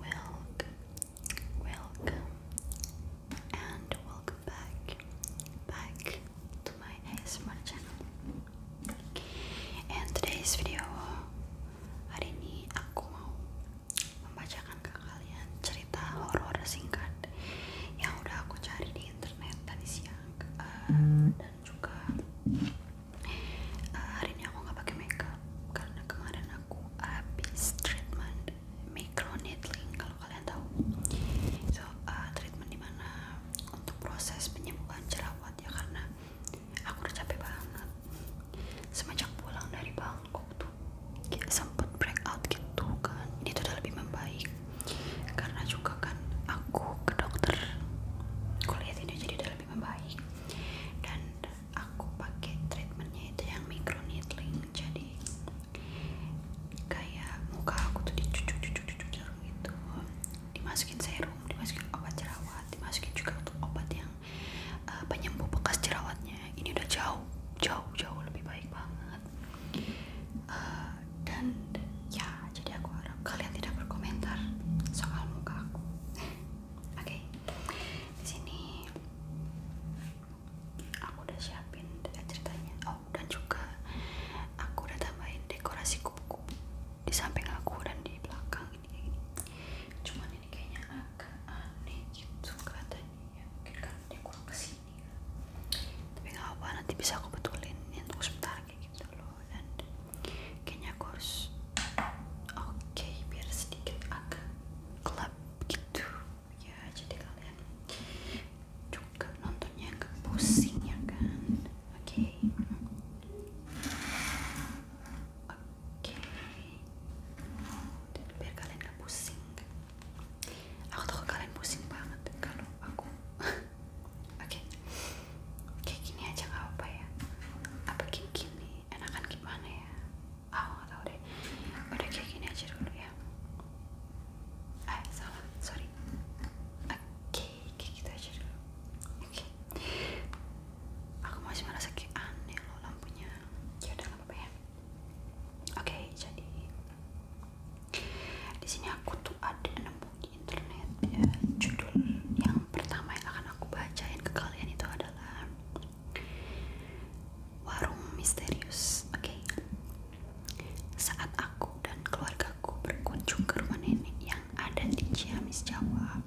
Welcome, welcome, and welcome back, back to my ASMR channel. In today's video hari ini aku mau membacakan ke kalian cerita horor singkat yang udah aku cari di internet tadi siang eh, dan juga Eh, hari ini aku nggak pakai makeup karena kemarin aku habis treatment microneedling kalau kalian tahu so uh, treatment dimana untuk proses penyembuhan jerawat ya karena aku udah capek banget semenjak pulang dari Bangkok tuh kayak sempet breakout gitu kan tuh udah lebih membaik karena juga kan aku ke dokter kuliah ini jadi udah lebih membaik dan aku pakai treatmentnya itu yang micro needling jadi kayak muka aku tuh dicucu-cucu itu dimasukin serum, dimasukin obat jerawat dimasukin juga obat yang eh, penyembuh bekas jerawatnya ini udah jauh, jauh, jauh lebih baik banget eh, dan ya jadi aku harap kalian tidak berkomentar soal muka aku Oke, di sini aku udah siapin ceritanya. Oh, dan juga aku udah tambahin dekorasi kuku di samping aku dan di belakang ini Cuman ini kayaknya agak aneh suka gitu kelihatannya. Ya, mungkin kan dia kurang kesini. Tapi nggak apa, nanti bisa aku betulin. Yang tunggu sebentar kayak gitu loh. Dan kayaknya aku harus oke biar sedikit agak gelap gitu ya jadi kalian juga nontonnya agak pusing ya kan oke oke okay. biar kalian gak pusing aku tahu kalian pusing banget kalau aku oke kayak gini aja nggak apa ya apa gini gini enakan gimana ya aku oh, tau deh udah kayak gini aja dulu ya ah salah sorry oke okay, kayak gitu aja dulu oke aku masih merasa kayak aneh loh lampunya ya udah nggak apa ya oke jadi di sini aku tuh ada enam buku internet ya. judul yang pertama yang akan aku bacain ke kalian itu adalah warung misterius oke saat aku dan keluargaku berkunjung ke rumah nenek yang ada di Ciamis Jawa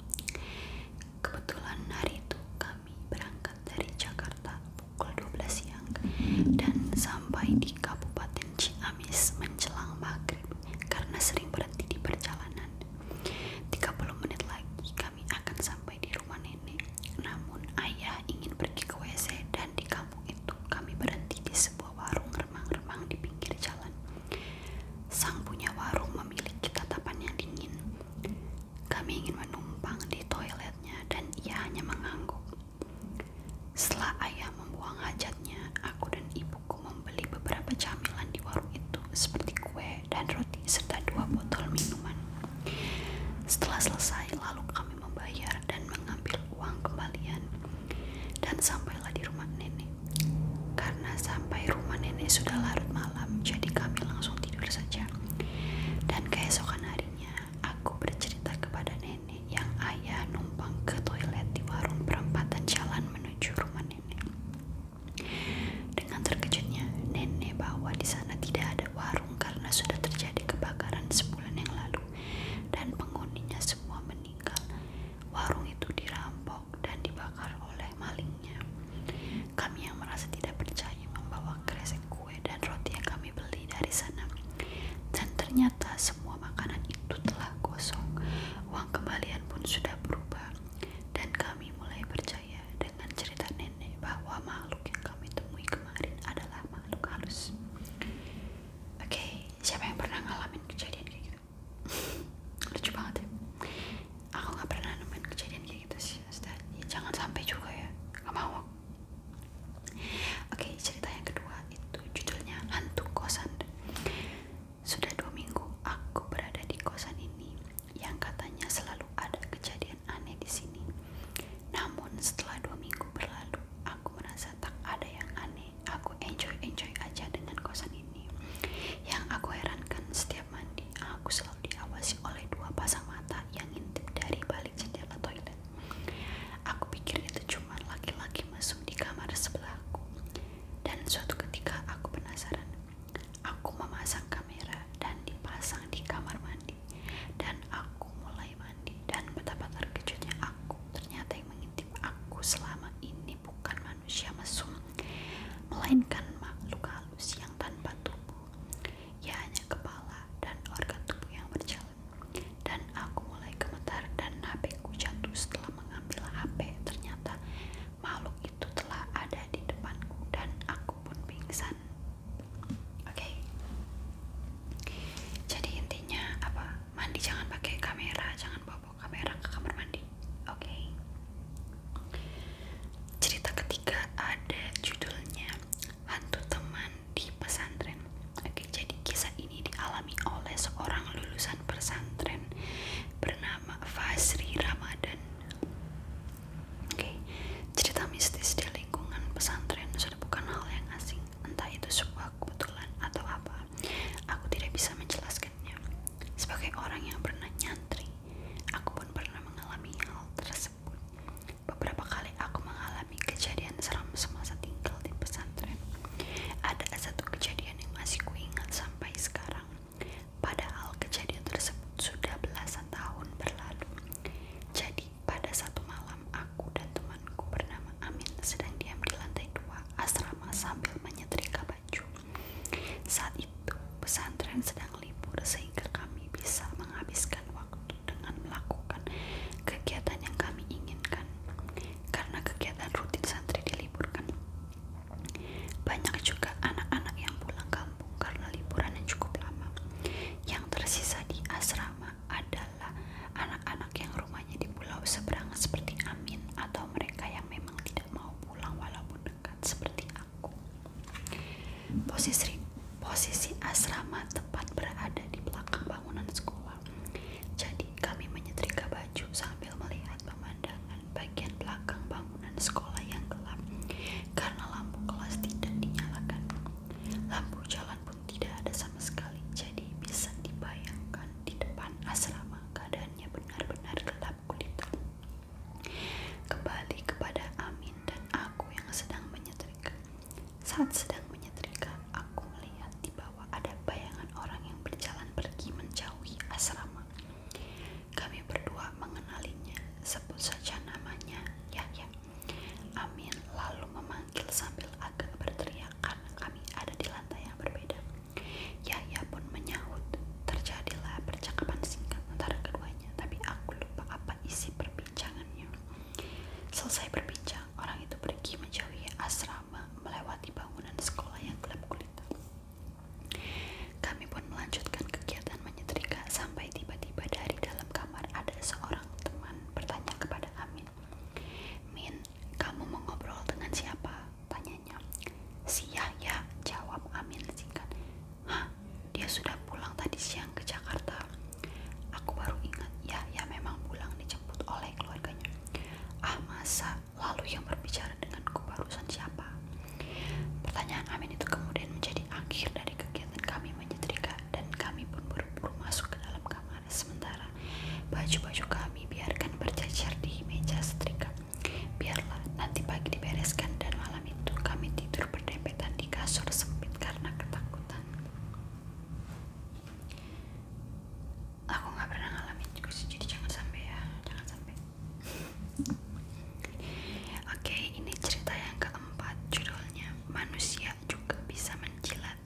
kebetulan hari itu kami berangkat dari Jakarta pukul 12 siang dan sampai di Kabupaten Ciamis menjelang maghrib karena sering berhenti di perjalanan tiga puluh menit lagi kami akan sampai di rumah nenek. Namun ayah ingin pergi ke WC dan di kampung itu kami berhenti di sebuah warung remang-remang di pinggir jalan. Sang punya warung memiliki tatapan yang dingin. Kami ingin menumpang di toiletnya dan ia hanya mengangguk. Setelah ayah membuang hajatnya, aku dan ibu aku membeli beberapa camilan di warung itu seperti kue dan roti serta dua botol minuman. Setelah selesai, lalu kami membayar dan mengambil uang kembalian dan sampailah di rumah nenek. Karena sampai rumah nenek sudah larut malam, jadi kami langsung tidur saja. Dan keesokan harinya, aku bercerita kepada nenek yang ayah numpang ke toilet di warung perempatan jalan menuju rumah nenek. Dengan terkejutnya, nenek bahwa di sana tidak ada warung karena sudah terjadi kebakaran sebulan yang lalu dan penghuninya semua meninggal. Warung itu dirampok dan dibakar oleh malingnya. Kami yang merasa tidak percaya membawa kresek kue dan roti yang kami beli dari sana. Dan ternyata semua makanan itu telah gosong. Uang kembalian pun sudah berubah. Dan kami mulai percaya dengan cerita nenek bahwa makhluk yang kami temui kemarin adalah makhluk halus. Oke, siapa yang pernah ngalamin kejadian kayak gitu? Lucu banget ya. Aku nggak pernah nemuin kejadian kayak gitu sih, Ustaz. Ya, jangan sampai juga ya, nggak mau. Oke, cerita yang kedua itu judulnya Hantu Kosan. Sudah dua minggu aku berada di kosan ini yang katanya selalu ada kejadian aneh di sini. Namun setelah dua minggu berlalu, aku merasa tak ada yang aneh. Aku enjoy-enjoy aja dengan kosan ini. Yang aku herankan setiap mandi, aku selalu diawasi oleh dua pasang mata yang intip dari balik jendela toilet. Aku pikir itu cuma laki-laki masuk di kamar sebelahku. Dan suatu ketika aku penasaran. Aku memasang kamera dan dipasang di kamar mandi. Dan aku mulai mandi dan betapa terkejutnya aku. Ternyata yang mengintip aku selama ini bukan manusia mesum, melainkan makhluk halus yang tanpa tubuh. Ya hanya kepala dan organ tubuh yang berjalan. Dan aku mulai gemetar dan HP ku jatuh setelah mengambil HP ternyata makhluk itu telah ada di depanku dan aku pun pingsan oke jadi intinya apa mandi jangan pakai kamera jangan bawa, kamera ke kamar mandi oke cerita ketiga ada judulnya hantu teman di pesantren oke jadi kisah ini ini dialami oleh seorang lulusan pesantren bernama Fasri Ramadan. Oke, cerita mistis di lingkungan pesantren sudah bukan hal yang asing, entah itu sebuah kebetulan atau apa. Aku tidak bisa menjelaskannya. Sebagai orang yang pernah nyantri, aku pun pernah mengalami hal tersebut. Beberapa kali aku mengalami kejadian seram semasa tinggal di pesantren. Ada satu kejadian yang masih kuingat sampai sekarang. Padahal kejadian tersebut sudah belasan tahun berlalu. Jadi pada satu malam aku dan temanku bernama Amin sedang diam di lantai dua asrama sambil menyetrika baju. Saat itu pesantren sedang libur sehingga kami bisa menghabiskan waktu dengan melakukan kegiatan yang kami inginkan karena kegiatan rutin santri diliburkan. Banyak juga anak-anak yang pulang kampung karena liburan yang cukup lama. Yang tersisa di asrama adalah anak-anak yang rumahnya di pulau seberang seperti Amin atau mereka yang memang tidak mau pulang walaupun dekat seperti aku. Posisi posisi asrama tepat berada di belakang bangunan sekolah. Jadi kami menyetrika baju sambil melihat pemandangan bagian belakang bangunan sekolah yang gelap karena lampu kelas tidak dinyalakan. Lampu jalan pun tidak ada sama sekali. Jadi bisa dibayangkan di depan asrama keadaannya benar-benar gelap gulita. Kembali kepada Amin dan aku yang sedang menyetrika. Saat sedang menyetrika, aku melihat di bawah ada bayangan orang yang berjalan pergi menjauhi asrama. Kami berdua mengenalinya, sebut saja namanya Yahya. Amin lalu memanggil sambil agak berteriak karena kami ada di lantai yang berbeda. Yahya pun menyahut. Terjadilah percakapan singkat antara keduanya, tapi aku lupa apa isi perbincangannya. Selesai berbincang, orang itu pergi menjauhi asrama melewati bangunan sekolah yang gelap gulita. Kami pun melanjutkan kegiatan menyetrika sampai tiba-tiba dari dalam kamar ada seorang teman bertanya kepada Amin. Min, kamu mengobrol dengan siapa? Tanyanya. Si Yahya, jawab Amin singkat. Hah, dia sudah pulang tadi siang ke Jakarta. Aku baru ingat, Yahya memang pulang dijemput oleh keluarganya. Ah masa, Lalu yang berbicara denganku barusan siapa? Pertanyaan Amin itu kemudian menjadi akhir dari kegiatan kami menyetrika dan kami berburu buru masuk ke dalam kamar. Sementara baju-baju kami biarkan berjajar di meja setrika. Biarlah nanti pagi dibereskan dan malam itu kami tidur berdempetan di kasur sempit karena ketakutan aku nggak pernah ngalamin juga sih jadi jangan sampai ya jangan sampai oke ini cerita yang keempat judulnya manusia juga bisa menjilat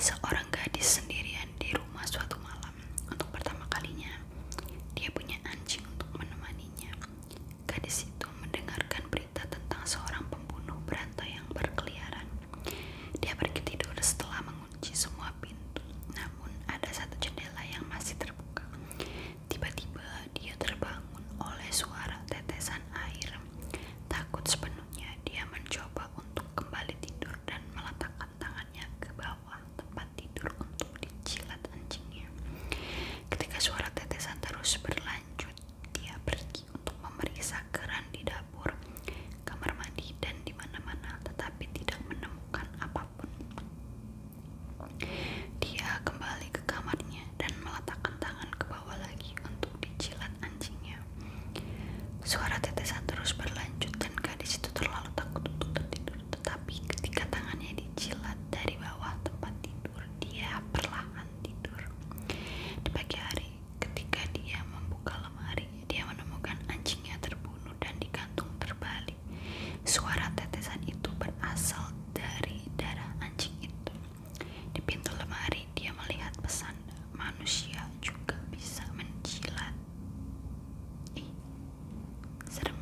seorang gadis sendirian di rumah suatu malam untuk pertama kalinya dia punya anjing untuk menemaninya gadis itu mendengarkan berita tentang seorang pembunuh berantai yang berkeliaran dia pergi tidur setelah mengunci semua pintu, namun ada satu jendela yang masih terbuka. Tiba-tiba dia terbangun oleh suara tetesan air. Takut sepenuhnya, dia mencoba untuk kembali tidur dan meletakkan tangannya ke bawah tempat tidur untuk dicilat anjingnya. Ketika suara tetesan terus berlanjut, dia pergi untuk memeriksa keran di dapur, kamar mandi, dan di mana-mana, tetapi tidak menemukan apapun. Dia kembali ke kamarnya dan meletakkan tangan ke bawah lagi untuk dicilat anjingnya. Suara tetesan terus berlanjut dan gadis itu terlalu takut untuk tertidur. Tetapi ketika tangannya dicilat dari bawah tempat tidur, dia perlahan tidur. Di pagi hari, Ketika dia membuka lemari, dia menemukan anjingnya terbunuh dan digantung terbalik. Suara tetesan itu berasal dari darah anjing itu. Di pintu lemari, dia melihat pesan manusia juga bisa menjilat. Ih, serem.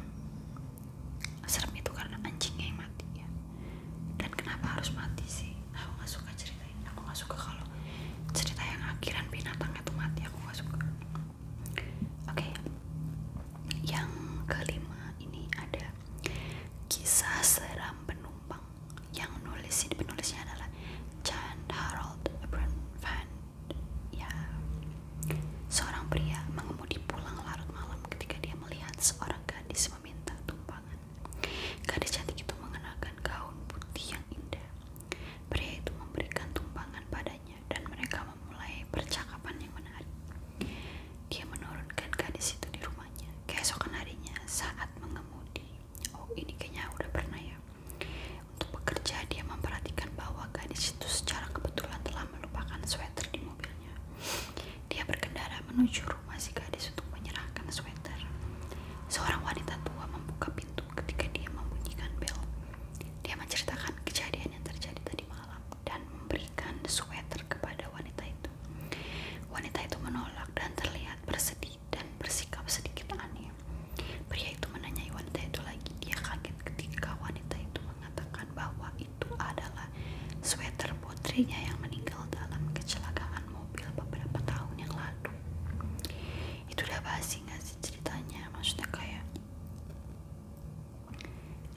Serem itu karena anjingnya yang mati ya. Dan kenapa harus mati sih? Aku nggak suka cerita aku nggak suka kalau cerita yang akhiran binatangnya tuh mati aku nggak suka oke yang kelima ini ada kisah seram penumpang yang nulis penulisnya adalah Jan Harold Brand Van. ya seorang pria mengemudi pulang larut malam ketika dia melihat seorang gadis meminta tumpangan Gadis cantik itu mengenakan gaun putih yang indah. Pria itu memberikan tumpangan padanya dan mereka memulai percakapan yang menarik. Dia menurunkan gadis itu di rumahnya. Keesokan harinya saat mengemudi. Oh, ini kayaknya udah pernah ya. Untuk bekerja dia memperhatikan bahwa gadis itu secara kebetulan telah melupakan sweater di mobilnya. Dia berkendara menuju rumah masih si gadis untuk menyerahkan sweater. Seorang wanita tua membuka pintu ketika dia membunyikan bel. Dia menceritakan kejadian yang terjadi tadi malam dan memberikan sweater kepada wanita itu. Wanita itu menolak dan terlihat bersedih dan bersikap sedikit aneh. Pria itu menanyai wanita itu lagi. Dia kaget ketika wanita itu mengatakan bahwa itu adalah sweater putrinya yang meninggal dalam kecelakaan mobil beberapa tahun yang lalu itu udah basi gak sih ceritanya maksudnya kayak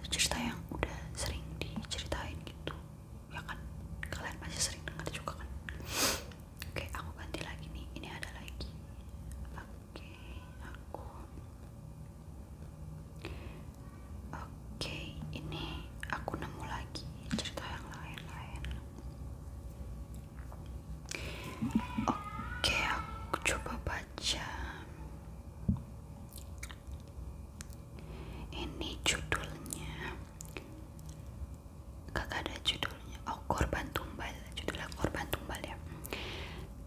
cerita yang udah sering diceritain gitu ya kan kalian masih sering dengar juga kan oke aku ganti lagi nih ini ada lagi oke aku oke ini aku nemu lagi cerita yang lain-lain oke aku coba baca ini judulnya kakak ada judulnya oh korban tumbal judulnya korban tumbal ya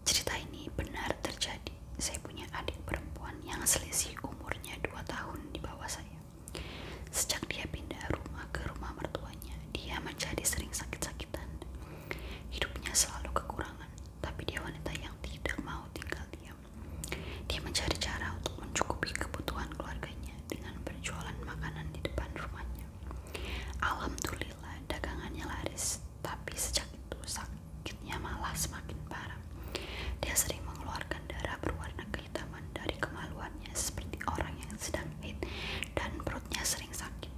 cerita ini benar terjadi saya punya adik perempuan yang selisih umurnya 2 tahun di bawah saya Sejak dia pindah rumah ke rumah mertuanya, dia menjadi sering sakit-sakitan. Hidupnya selalu kekurangan, tapi dia wanita yang tidak mau tinggal diam. Dia mencari cara untuk mencukupi kebutuhan keluarganya dengan berjualan makanan di depan rumahnya. Alhamdulillah, dagangannya laris, tapi sejak itu sakitnya malah semakin parah. Dia sering mengeluarkan darah berwarna gelap taman dari kemaluannya seperti orang yang sedang haid dan perutnya sering sakit.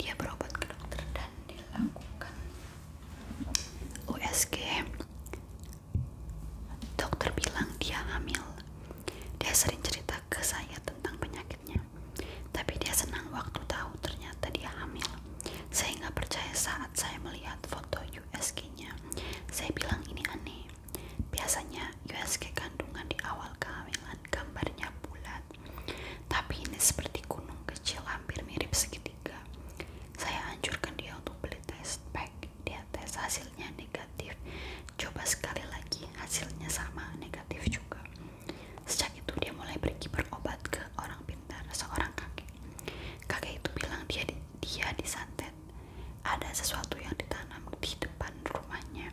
Dia berobat ke dokter dan dilakukan USG. Dokter bilang dia hamil. Dia sering cerita ke saya tentang penyakitnya. Tapi dia senang waktu tahu ternyata dia hamil. Saya nggak percaya saat saya melihat fotonya USG-nya. Saya bilang ini aneh. Biasanya USG kandungan di awal kehamilan gambarnya bulat. Tapi ini seperti gunung kecil hampir mirip segitiga. Saya anjurkan dia untuk beli test pack. Dia tes hasilnya negatif. Coba sekali lagi hasilnya sama negatif juga. Sejak itu dia mulai pergi berobat ke orang pintar seorang kakek. Kakek itu bilang dia dia disantet. Ada sesuatu yang ditanam di depan rumahnya.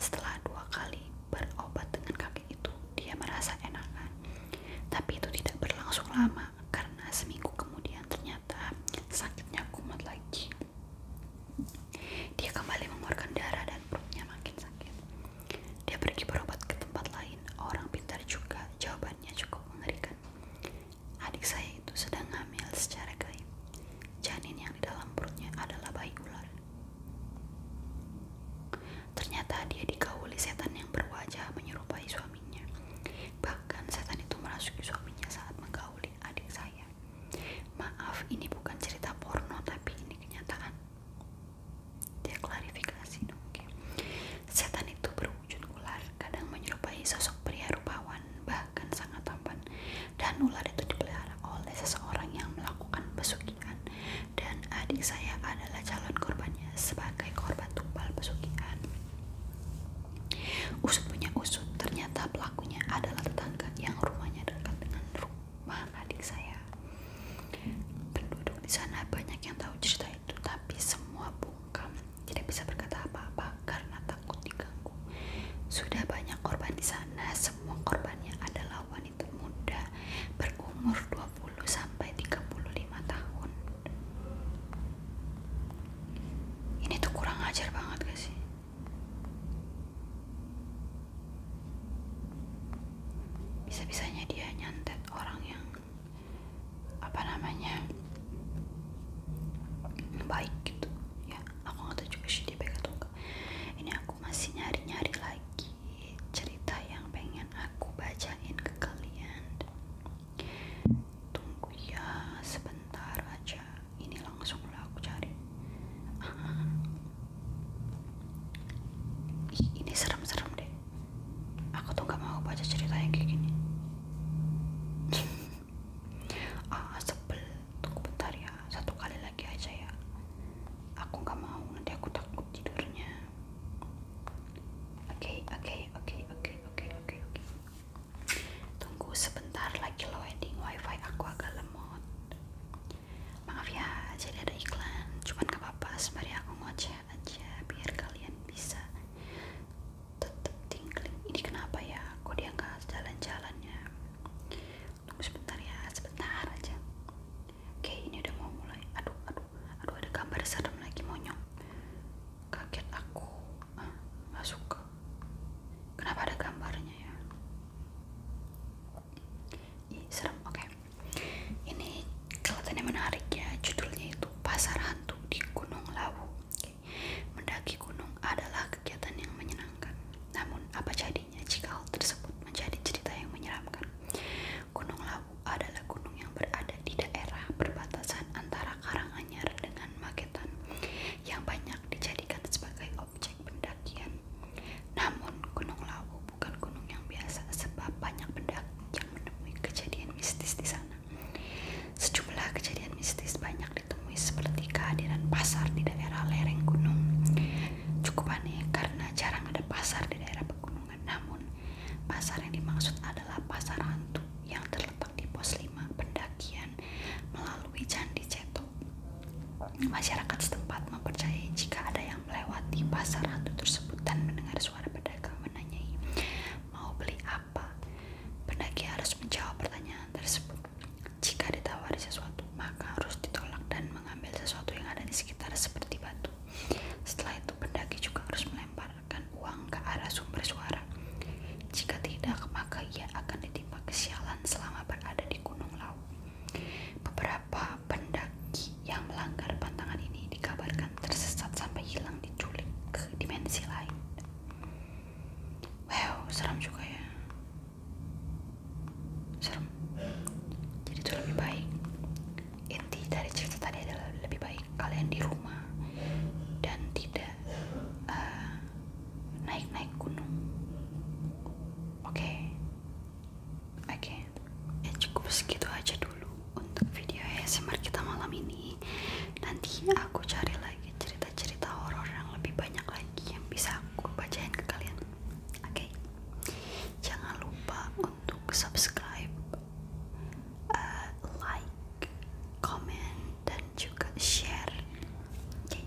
Setelah dua kali berobat dengan kakek itu, dia merasa enakan. Tapi itu tidak berlangsung lama karena seminggu kemudian ternyata sakitnya kumat lagi. Dia kembali mengeluarkan darah dan perutnya makin sakit. Dia pergi berobat ke tempat lain. Orang pintar juga jawabannya cukup mengerikan adik saya itu sedang hamil secara gaib. Janin yang di dalam perutnya adalah bayi ular. Ternyata dia dikawuli setan yang berwajah menyerupai suaminya. Bahkan setan itu merasuki suaminya saat menggauli adik saya. Maaf, ini bukan cerita porno, tapi ini kenyataan. Dia klarifikasi dong. Setan itu berwujud ular kadang menyerupai sosok pria rupawan bahkan sangat tampan dan ular itu dipelihara oleh seseorang yang melakukan pesugihan dan adik saya adalah calon korbannya sebagai korban tumpal pesugihan usut punya usut ternyata pelakunya adalah tetangga yang rumahnya dekat dengan rumah adik saya penduduk di sana banyak yang tahu cerita itu tapi semua bukan tidak bisa berkata apa-apa karena takut diganggu sudah banyak korban di sana semua korbannya adalah wanita muda berumur 20 sampai lima tahun ini tuh kurang ajar banget gak sih bisa-bisanya dia nyantet orang yang apa namanya baik gitu ya aku nggak tahu juga sih dia baik atau enggak ini aku masih nyari nyari lagi cerita yang pengen aku bacain ke kalian tunggu ya sebentar aja ini langsung lah aku cari ini serem-serem deh aku tuh gak mau baca cerita yang kayak gini ah sebel tunggu bentar ya satu kali lagi aja ya aku gak mau nanti aku takut tidurnya oke oke oke oke oke oke oke tunggu sebentar lagi loading wifi aku agak lemot maaf ya jadi ada iklan cuman gak apa-apa sembari aku ngoceh aja biar kalian bisa tetap tingling ini kenapa ya kok dia nggak jalan jalannya ya tunggu sebentar ya sebentar aja oke ini udah mau mulai aduh aduh aduh ada gambar serem lagi monyong kaget aku ah, nggak suka kenapa ada gambarnya ya Ih, serem oke okay. ini kelihatannya menarik ya judulnya itu pasar hantu di Gunung Lawu. Mendaki gunung adalah kegiatan yang menyenangkan. Namun, apa jadinya jika hal tersebut menjadi cerita yang menyeramkan? Gunung Lawu adalah gunung yang berada di daerah perbatasan antara Karanganyar dengan Magetan yang banyak dijadikan sebagai objek pendakian. Namun, Gunung Lawu bukan gunung yang biasa sebab banyak pendaki yang menemui kejadian mistis di sana. Sejumlah kejadian mistis banyak ditemui seperti kehadiran pasar di daerah lereng gunung. Cukup aneh karena jarang ada pasar di daerah pegunungan. Namun, pasar yang dimaksud adalah pasar hantu yang terletak di pos 5 pendakian melalui Candi Ceto. Masyarakat setempat mempercayai jika ada yang melewati pasar hantu tersebut dan mendengar suara pedagang menanyai mau beli apa Pendaki harus menjawab pertanyaan tersebut. Jika ditawari sesuatu, maka harus ditolak dan mengambil sesuatu yang ada di sekitar seperti batu. Setelah itu, pendaki juga harus melemparkan uang ke arah sumber suara. Jika tidak, maka ia akan ditimpa kesialan selama berada di gunung laut. Beberapa pendaki yang melanggar pantangan ini dikabarkan biarkan tersesat sampai hilang diculik ke dimensi lain. Wow, serem juga ya. Serem. Jadi itu lebih baik. Inti dari cerita tadi adalah lebih baik kalian di rumah dan tidak eh, naik-naik gunung. Oke. Oke. Ya cukup segitu aja dulu untuk video ASMR kita malam ini nanti aku cari lagi cerita-cerita horor yang lebih banyak lagi yang bisa aku bacain ke kalian oke jangan lupa untuk subscribe eh, like comment dan juga share oke